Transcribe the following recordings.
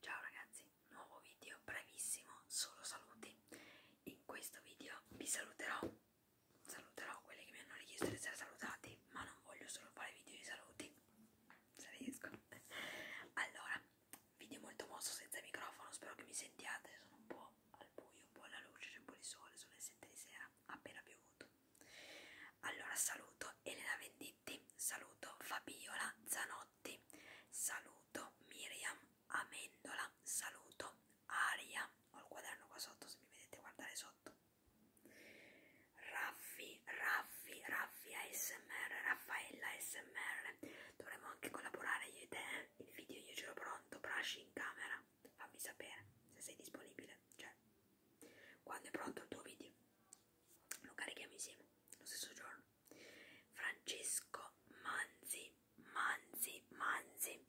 Ciao ragazzi, nuovo video brevissimo, solo saluti. In questo video vi saluterò, saluterò quelli che mi hanno richiesto di essere salutati, ma non voglio solo fare video di saluti, se riesco. Allora, video molto mosso senza microfono, spero che mi sentiate, sono un po' al buio, un po' alla luce, c'è un po' di sole, sono le 7 di sera, appena piovuto. Allora saluto Elena Venditti Mitti, saluto Fabiola Zanotti, saluto Miriam Amendola, saluto Aria, ho il quaderno qua sotto se mi vedete guardare sotto, Raffi, Raffi, Raffi ASMR, Raffaella ASMR, dovremmo anche collaborare io e te, eh? il video io ce l'ho pronto, bracci in camera, fammi sapere se sei disponibile, cioè quando è pronto il tuo video, lo carichiamo insieme lo stesso giorno. Francesco Manzi, Manzi, Manzi,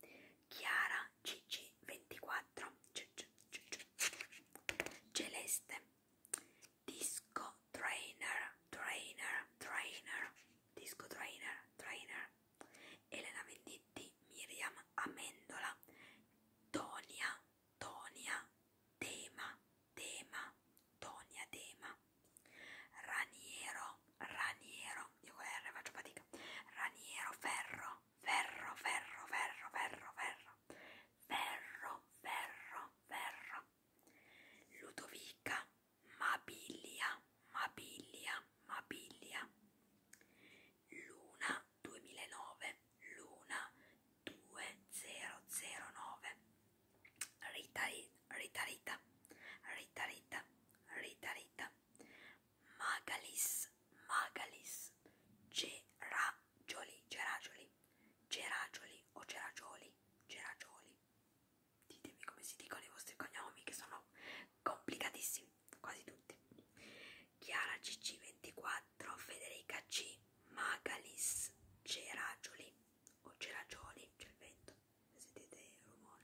Chiara CC24, C -c -c -c Celeste, Disco Trainer, Trainer, Trainer, Disco Trainer, Trainer, Elena Venditti, Miriam Amendola, Tonia, Tonia, Tema, Tema, Tonia, Tema, Raniero, Raniero, io con R faccio fatica, Raniero, Ferro, Ferro, Ferro, Ferro, Ferro, Ferro, Ferro, Ferro, Ferro, Ludovica, Mabilia, Mabilia, Mabilia. Luna 2009, Luna 2009. Rita, Rita, Rita, Rita, Rita, Rita, Rita. Magalis, Magalis. Geragioli, Geragioli, Geragioli o Geragioli, Geragioli ditemi come si dicono i vostri cognomi che sono complicatissimi, quasi tutti. Chiara CC24, Federica C, Magalis, Ceragioli o Ceragioli, c'è il vento, se sentite il rumore.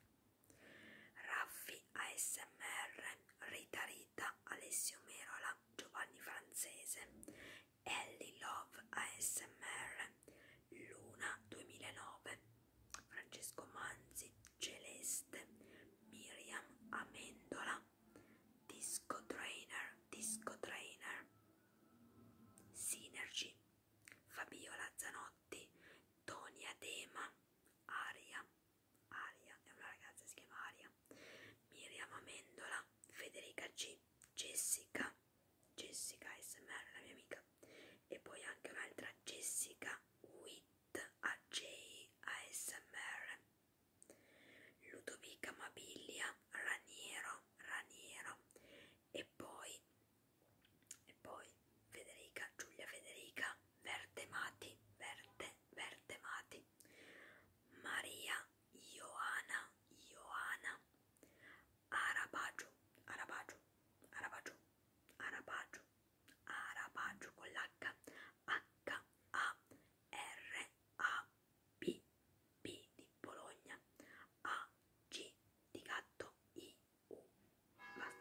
Raffi ASMR, Rita Rita, Alessio Merola, Giovanni Francese, Ellie Love ASMR, Luna 2009, Francesco Manzi, Celeste, Miriam Amendola, Disco Trainer, Disco Trainer, Synergy, Fabiola Zanotti, Tonia Dema, Aria, Aria, è una ragazza che si chiama Aria, Miriam Amendola, Federica G, Jessica, Jessica SMR, la mia amica, e poi anche un'altra Jessica Witt AJ ASMR, Ludovica Mabilia, Raniero, Raniero, e poi, e poi Federica, Giulia Federica, Verde Mati, Verde, Verde Mati, Maria Ioana Ioana Arabaggio Arabaggio Arabaggio Arabaggio Arabaggio con l'H H A R A B B di Bologna A G di gatto I U basta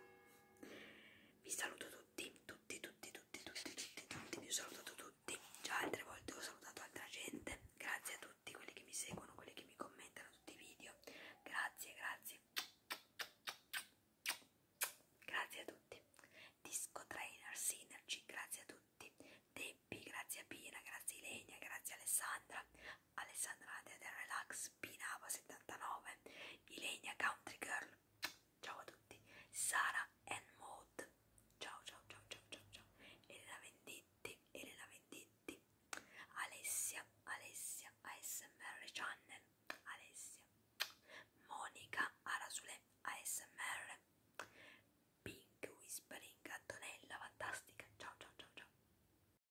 vi saluto tutti, tutti, tutti, tutti, tutti, tutti, tutti, vi ho salutato tutti, già altre volte ho salutato altra gente, grazie a tutti quelli che mi seguono, quelli che mi commentano tutti i video, grazie, grazie, grazie a tutti, Disco Trainer, Synergy, grazie a tutti, Debbie, grazie a Pina, grazie a Ilenia, grazie a Alessandra, Alessandra del Relax, Spinava79, Ilenia Country Girl, ciao a tutti, Sara Mode, ciao ciao ciao ciao ciao ciao, Elena Venditti, Elena Venditti, Alessia, Alessia, ASMR Channel, Alessia, Monica Arasule, ASMR, Pink Whispering, Antonella, fantastica, ciao ciao ciao ciao.